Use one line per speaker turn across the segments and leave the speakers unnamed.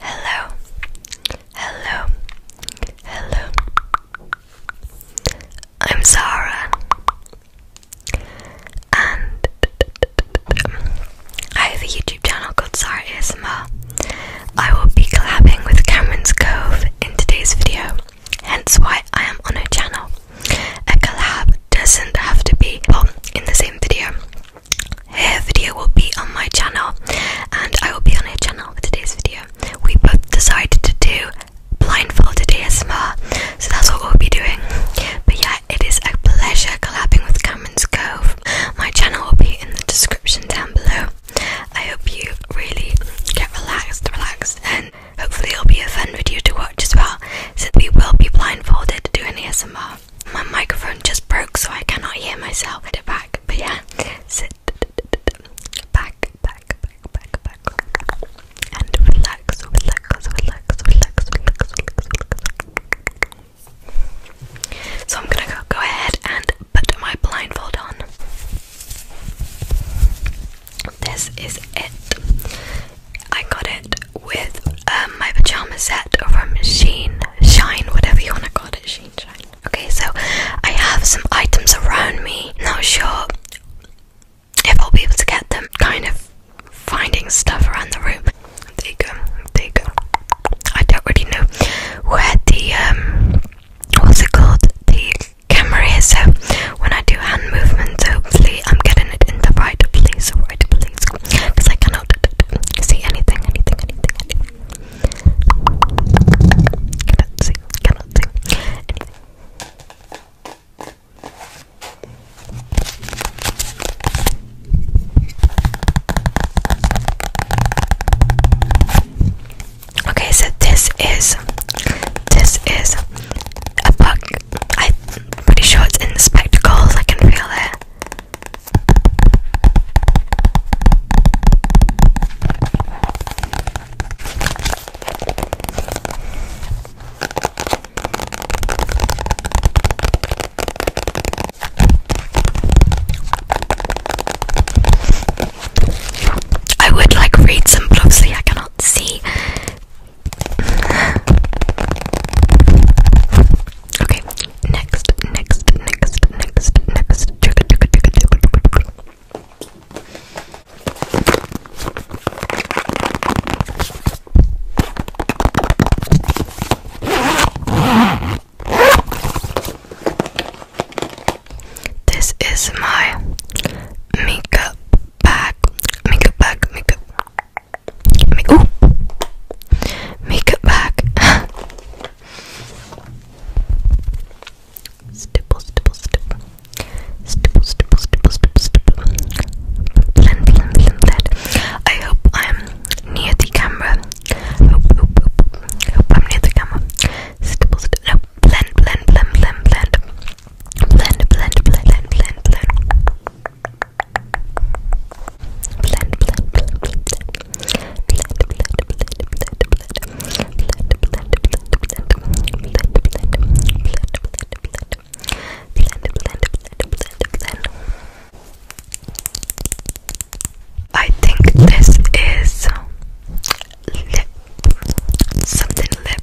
Hello, hello, hello. I'm Zara, and I have a YouTube channel called Zara ASMR. I will be collabing with Cameron's Cove in today's video, hence why I am on her channel. A collab doesn't have to be well, in the same video her video will be on my channel and I will be on her channel for today's video. We both decided to do blindfolded ASMR, so that's what we'll be doing. But yeah, it is a pleasure collabing with Cameron's Cove. My channel will be in the description down below. I hope you really get relaxed, relaxed, and hopefully it'll be a fun video to watch as well. So we will be blindfolded doing ASMR my microphone just broke, so I cannot hear myself. Put back, but yeah, sit back, back, back, back, back, and relax, relax, relax, relax, relax, relax, relax. So I'm gonna go, go ahead and put my blindfold on. This is it. I got it with um, my pajama set from Sheen, Shine, whatever you want to call it, Sheen, Shine. Okay, so I have some items around me. Not sure if I'll be able to get them. Kind of finding stuff around the room. There you go. There you go. I don't really know where the um, what's it called? The camera is. So when I do hand movements, hopefully I'm getting it in the right place, right place, because I can see anything, anything, anything, anything. Cannot see, cannot see Okay, so this is this is a book. I'm pretty sure it's in the spectacles. I can feel it. I would like read some, but obviously I cannot see. Okay, next, next, next, next, next. This is my makeup bag, makeup bag, makeup make, ooh, makeup back. stipple, stipple, stipple, stipple, stipple, stipple, stipple, stipple. Blend, blend, blend, blend. I hope I'm near the camera. Hope, hope, hope, hope I'm near the camera. Stipple, stipple. No, blend, blend, blend, blend, blend. Blend, blend, blend, blend, blend, blend blend, blend, blend, blend, blend, blend, blend, blend, blend, blend, blend, blend, blend, blend, blend, blend, blend. I think this is lip something lip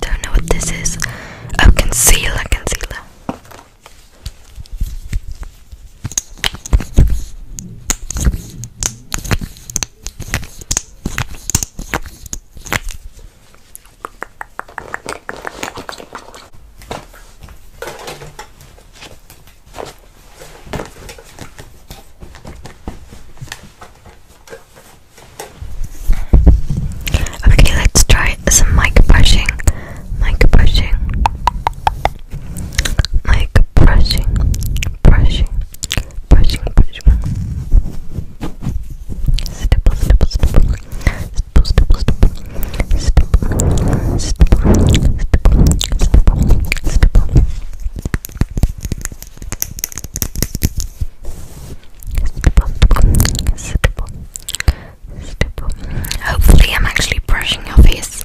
Don't know what this is. Oh, concealer, concealer. Okay, let's try some mic brushing. Mic brushing. Mic brushing. Brushing. Brushing. Brushing. Stipple, stipple, stipple. Stipple, stipple, stipple. Stipple, stipple, stipple. Stipple, Hopefully, I'm actually brushing your face.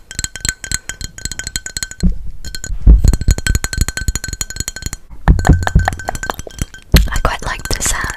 I quite like this sound.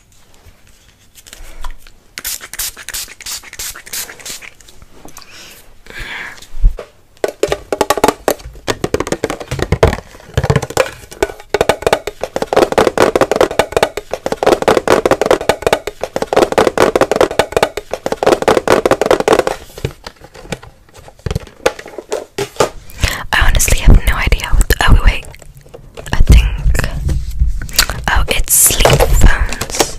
I honestly have no idea what. The, oh wait, I think. Oh, it's sleep phones.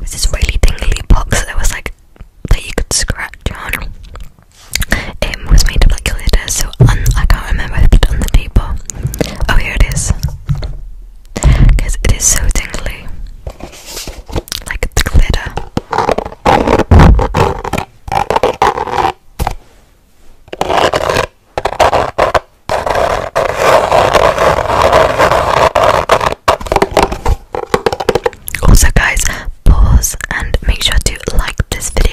This is really tingly box. There was like that you could scratch on. It was made of like glitter, so I can't remember if it's on the paper. Oh, here Because it is so tingly. Like glitter. Also, guys, pause and make sure to like this video.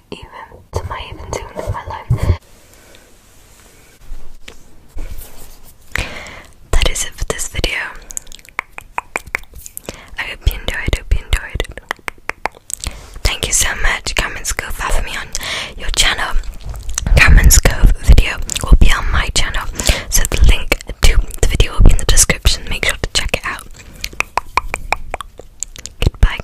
even to my even tune of my life. That is it for this video. I hope you enjoyed, hope you enjoyed. Thank you so much, Cameron's Cove, for me on your channel. Cameron's Cove video will be on my channel, so the link to the video will be in the description. Make sure to check it out. Goodbye.